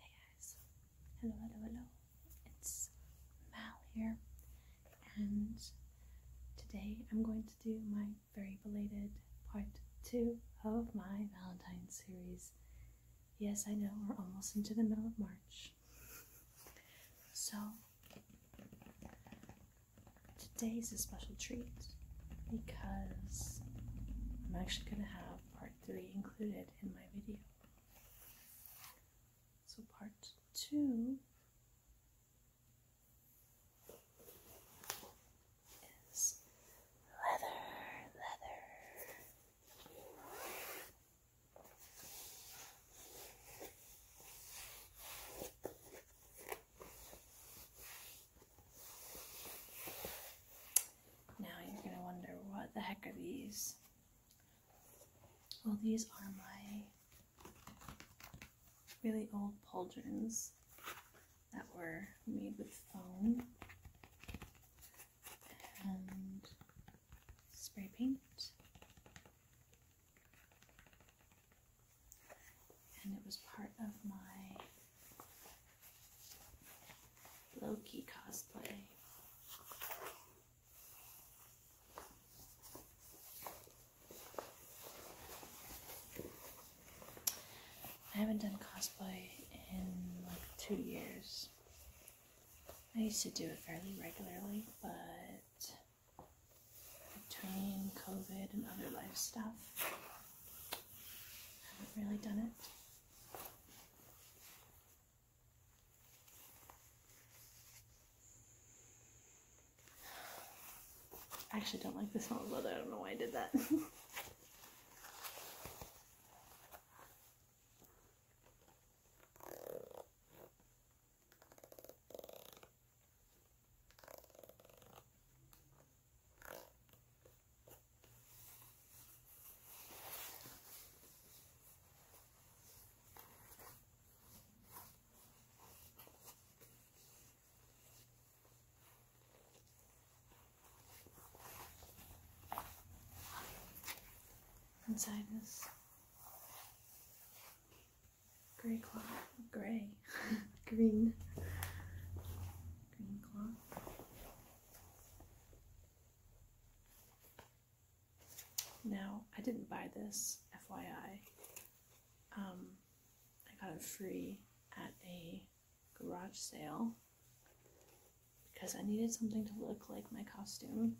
Hey guys, hello, hello, hello. It's Mal here, and today I'm going to do my very belated part two of my Valentine series. Yes, I know we're almost into the middle of March. So, today's a special treat because I'm actually going to have part three included in my video. So part two is leather, leather. Now you're going to wonder what the heck are these? Well, these are my really old pauldrons that were made with foam and spray paint. And it was part of my Loki cosplay. I haven't done cosplay in like two years. I used to do it fairly regularly, but between COVID and other life stuff, I haven't really done it. I actually don't like the smell of leather. I don't know why I did that. Inside is gray cloth, gray, green, green cloth. Now, I didn't buy this, FYI. Um, I got it free at a garage sale because I needed something to look like my costume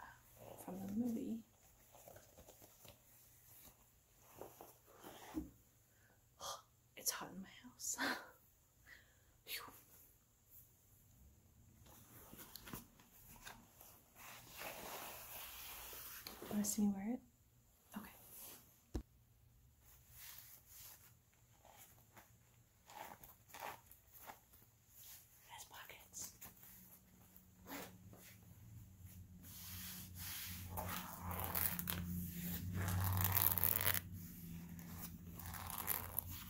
uh, from the movie. it's hot in my house. Whew. want to see me wear it? Okay. has pockets.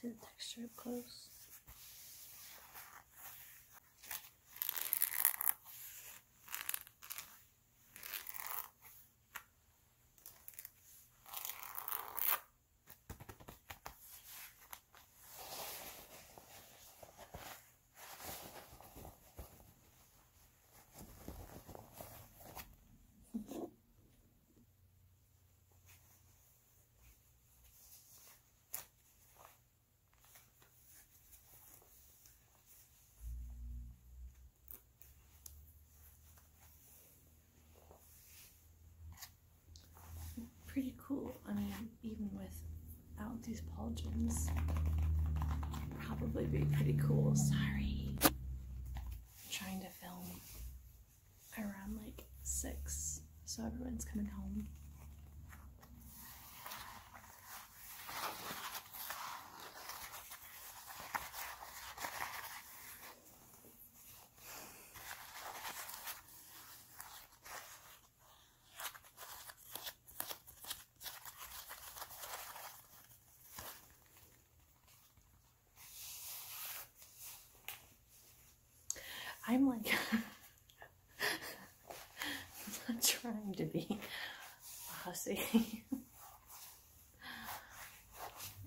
See the texture up close. Pretty cool. I mean, even without these pauldrons, probably be pretty cool. Sorry. I'm trying to film around like 6, so everyone's coming home. I'm like, I'm not trying to be a hussy.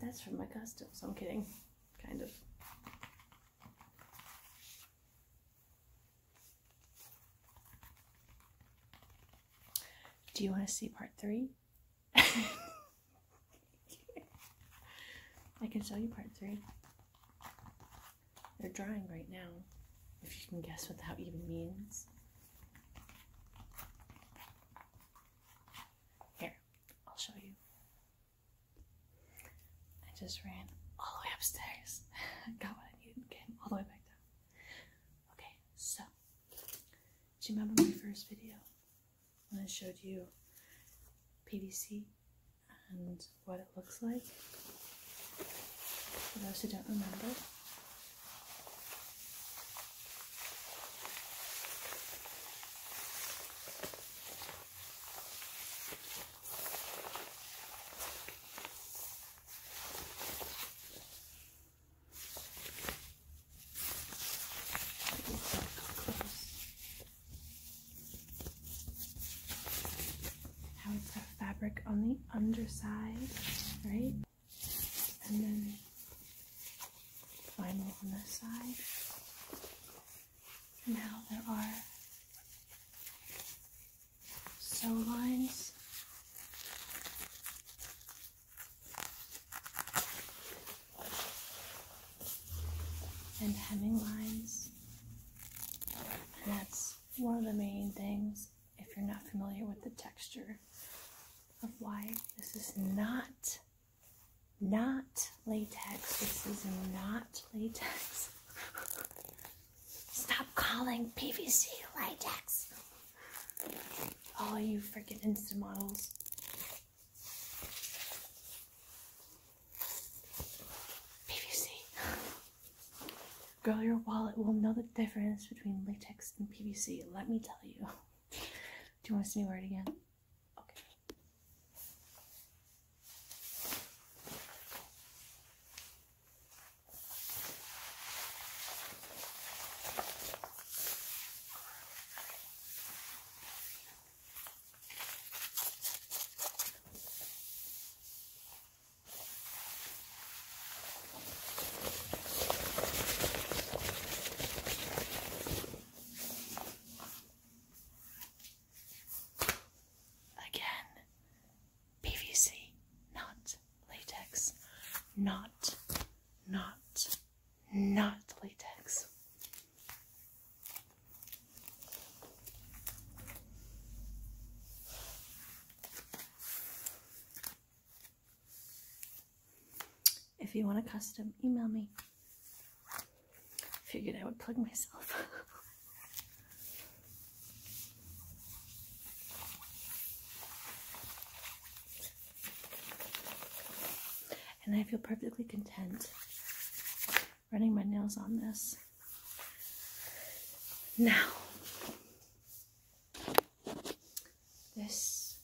That's from my customs. I'm kidding. Kind of. Do you want to see part three? I can show you part three. They're drying right now, if you can guess what that even means. Here, I'll show you. I just ran all the way upstairs, got what I needed, came all the way back down. Okay, so, do you remember my first video when I showed you PVC and what it looks like. For those who don't remember, how it's got fabric on the underside, right? And then vinyl on this side. And how there are sew lines and hemming lines. that's one of the main things if you're not familiar with the texture of why this is not not latex. This is not latex. Stop calling PVC latex. All oh, you freaking instant models. PVC. Girl, your wallet will know the difference between latex and PVC. Let me tell you. Do you want to see me wear it again? Okay. Again, PVC, not latex, not, not, not latex. If you want a custom, email me. Figured I would plug myself. and I feel perfectly content running my nails on this. Now, this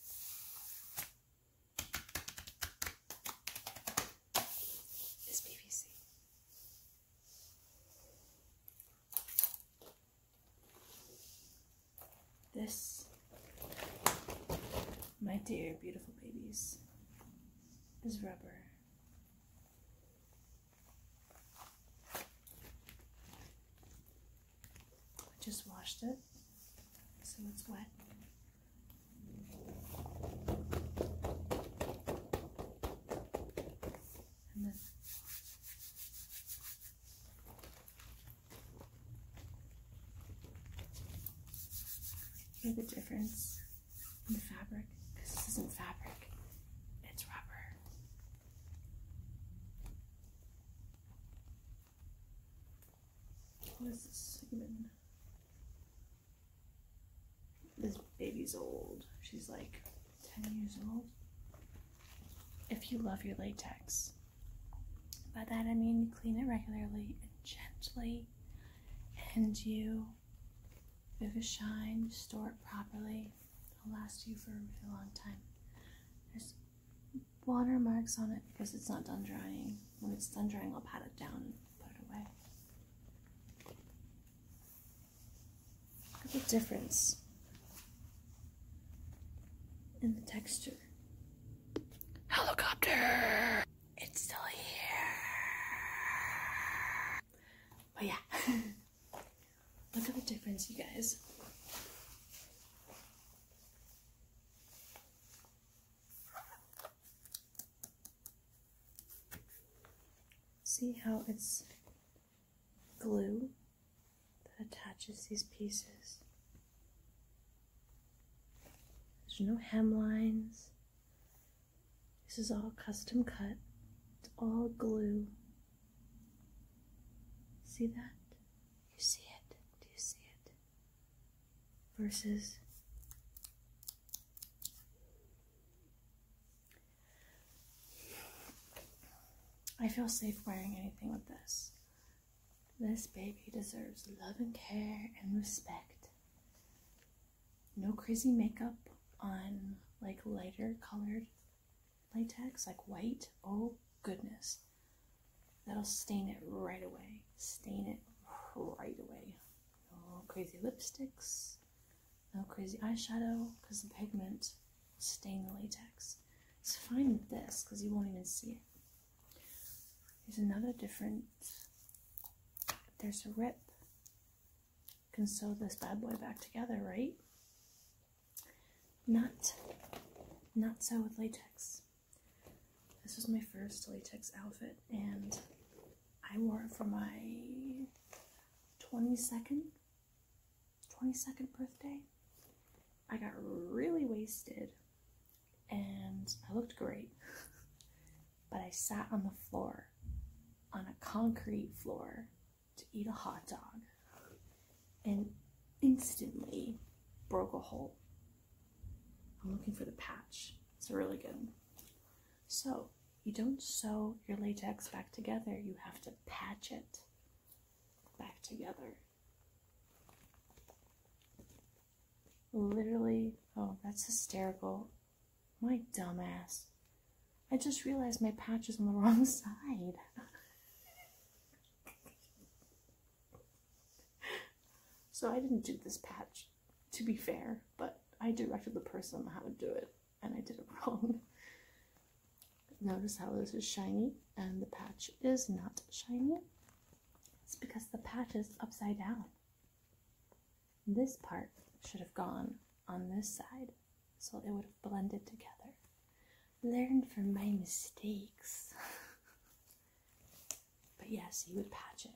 is PVC. This, my dear beautiful babies, is rubber. I just washed it so it's wet. And then hear the difference and fabric. Because this isn't fabric, it's rubber. What is this segment? This baby's old. She's like 10 years old. If you love your latex, by that I mean you clean it regularly and gently, and you if Vivishine, store it properly. It'll last you for a really long time. There's water marks on it because it's not done drying. When it's done drying, I'll pat it down and put it away. Look at the difference in the texture. Helicopter! It's still here. But yeah, look at the difference, you guys. See how it's glue that attaches these pieces. There's no hemlines, this is all custom cut. It's all glue. See that? You see it? Do you see it? Versus I feel safe wearing anything with this. This baby deserves love and care and respect no crazy makeup on like lighter colored latex, like white. Oh goodness. That'll stain it right away. Stain it right away. No crazy lipsticks. No crazy eyeshadow because the pigment will stain the latex. It's fine with this because you won't even see it. There's another different. There's a rip can sew this bad boy back together, right? Not, not so with latex. This was my first latex outfit, and I wore it for my 22nd, 22nd birthday. I got really wasted, and I looked great. but I sat on the floor, on a concrete floor, to eat a hot dog, and instantly broke a hole. I'm looking for the patch. It's really good. So, you don't sew your latex back together, you have to patch it back together. Literally, oh, that's hysterical. My dumbass. I just realized my patch is on the wrong side. so I didn't do this patch, to be fair, but I directed the person how to do it, and I did it wrong. Notice how this is shiny and the patch is not shiny. It's because the patch is upside down. This part should have gone on this side, so it would have blended together. Learn from my mistakes. but yes, you would patch it.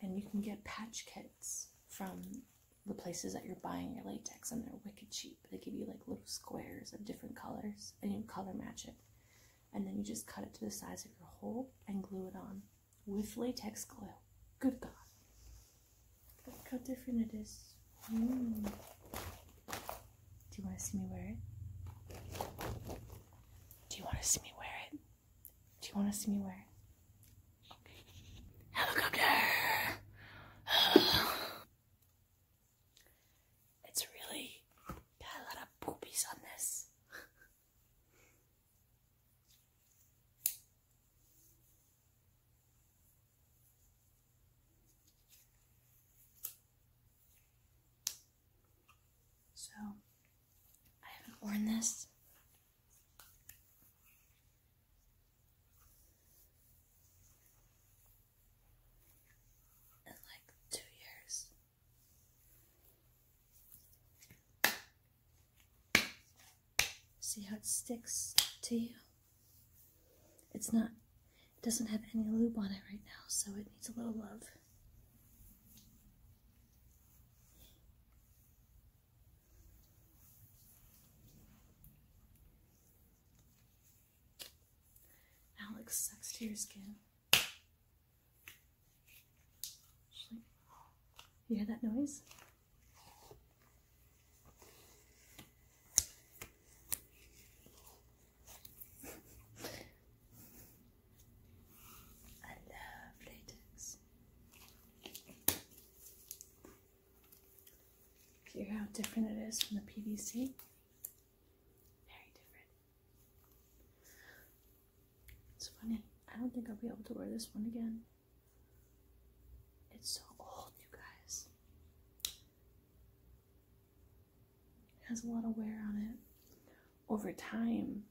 And you can get patch kits from the places that you're buying your latex, and they're wicked cheap. They give you like little squares of different colors, and you color match it. And then you just cut it to the size of your hole and glue it on with latex glue. Good God. Look how different it is. Mm. Do you want to see me wear it? Do you want to see me wear it? Do you want to see me wear it? Helicopter! it's really got a lot of poopies on this. So, I haven't worn this. in like two years. See how it sticks to you? It's not, it doesn't have any lube on it right now, so it needs a little love. Alex sucks to your skin. You hear that noise? I love latex. Hear how different it is from the PVC? Very different. It's funny. I don't think I'll be able to wear this one again. It's so old, you guys. It has a lot of wear on it. Over time,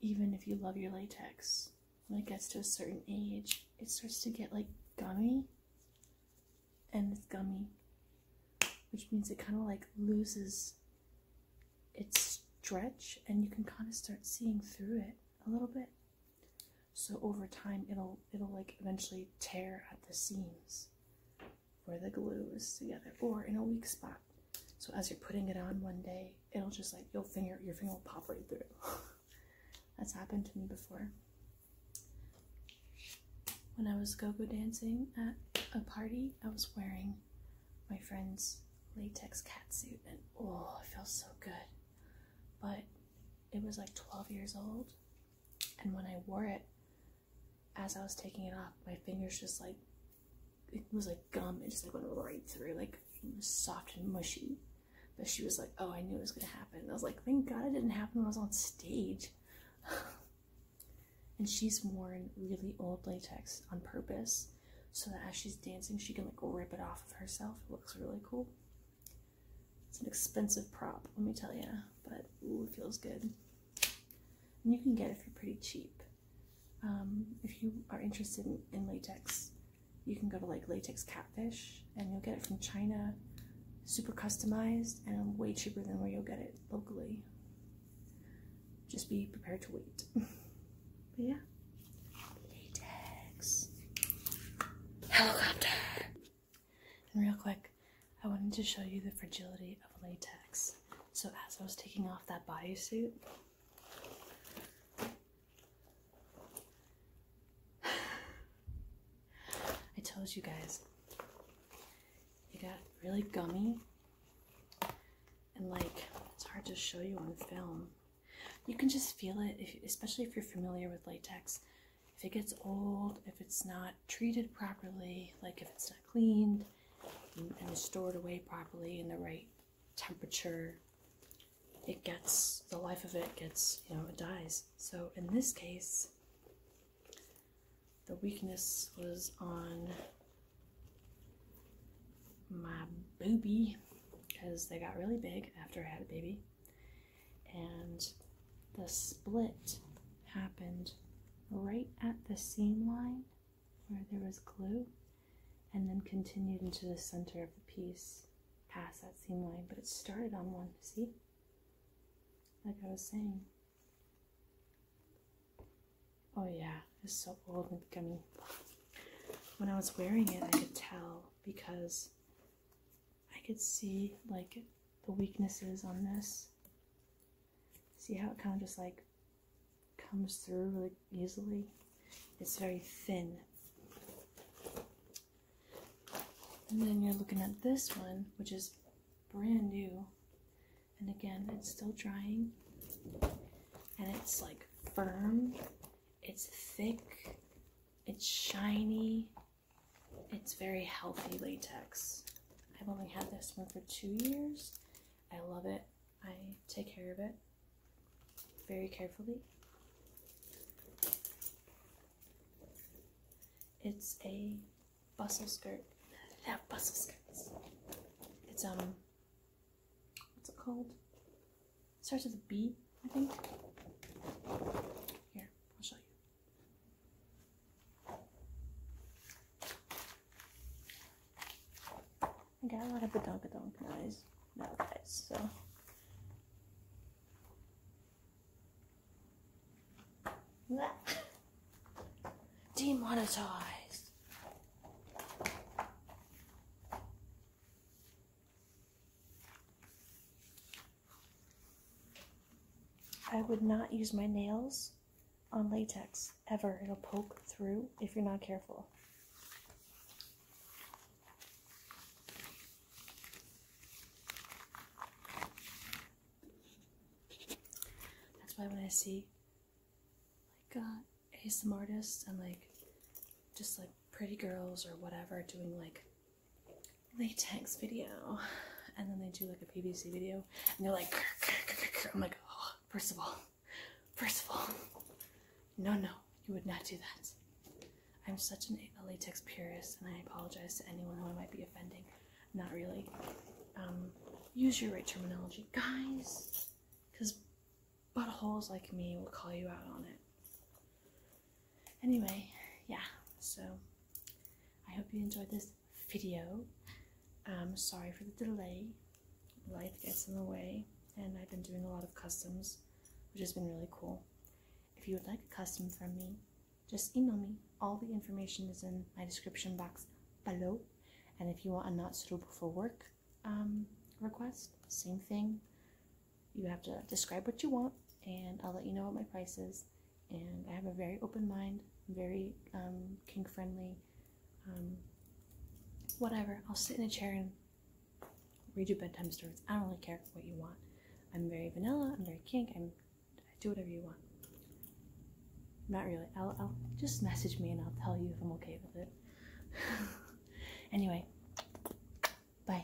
even if you love your latex, when it gets to a certain age, it starts to get like gummy. And it's gummy, which means it kind of like loses its stretch, and you can kind of start seeing through it a little bit. So over time it'll it'll like eventually tear at the seams where the glue is together or in a weak spot. So as you're putting it on one day, it'll just like your finger your finger will pop right through. That's happened to me before. When I was go-go dancing at a party, I was wearing my friend's latex catsuit and oh, it feels so good. But it was like 12 years old. And when I wore it, as I was taking it off, my fingers just like, it was like gum. It just like went right through. Like soft and mushy. But she was like, oh, I knew it was going to happen. I was like, thank God it didn't happen when I was on stage. and she's worn really old latex on purpose so that as she's dancing, she can like rip it off of herself. It looks really cool. It's an expensive prop, let me tell you, but ooh, it feels good. And you can get it for pretty cheap. Um, if you are interested in, in latex, you can go to like Latex Catfish and you'll get it from China, super customized and way cheaper than where you'll get it locally. Just be prepared to wait. but yeah. Latex. Helicopter. And real quick, I wanted to show you the fragility of latex. So as I was taking off that bio suit, I told you guys, it got really gummy and like, it's hard to show you on film. You can just feel it, especially if you're familiar with latex. If it gets old, if it's not treated properly, like if it's not cleaned and stored away properly in the right temperature, it gets the life of it gets you know it dies. So in this case, the weakness was on my boobie because they got really big after I had a baby and the split happened right at the seam line where there was glue and then continued into the center of the piece past that seam line but it started on one see like I was saying oh yeah it's so old and gummy when I was wearing it I could tell because I could see like the weaknesses on this. See how it kind of just like comes through really easily? It's very thin. And then you're looking at this one, which is brand new. And again, it's still drying. And it's like firm, it's thick, it's shiny. It's very healthy latex. I've only had this one for two years. I love it. I take care of it very carefully. It's a bustle skirt. I bustle skirts. It's um, what's it called? starts with a B, I think. Here, I'll show you. I got a lot of the a badonkadonk noise No nowadays, so. Demonetized. I would not use my nails on latex ever. It'll poke through if you're not careful. That's why when I see like uh, ASM artists and like just like pretty girls or whatever doing like latex video and then they do like a PVC video and they're like I'm like oh, first of all first of all no no you would not do that I'm such an, a latex purist and I apologize to anyone who I might be offending not really um, use your right terminology guys because buttholes like me will call you out on it anyway yeah so i hope you enjoyed this video I'm um, sorry for the delay life gets in the way and i've been doing a lot of customs which has been really cool if you would like a custom from me just email me all the information is in my description box below and if you want a not suitable for work um, request same thing you have to describe what you want, and I'll let you know what my price is. And I have a very open mind, very um, kink friendly. Um, whatever. I'll sit in a chair and read you bedtime stories. I don't really care what you want. I'm very vanilla. I'm very kink. I'm I do whatever you want. Not really. I'll, I'll just message me and I'll tell you if I'm okay with it. anyway, bye.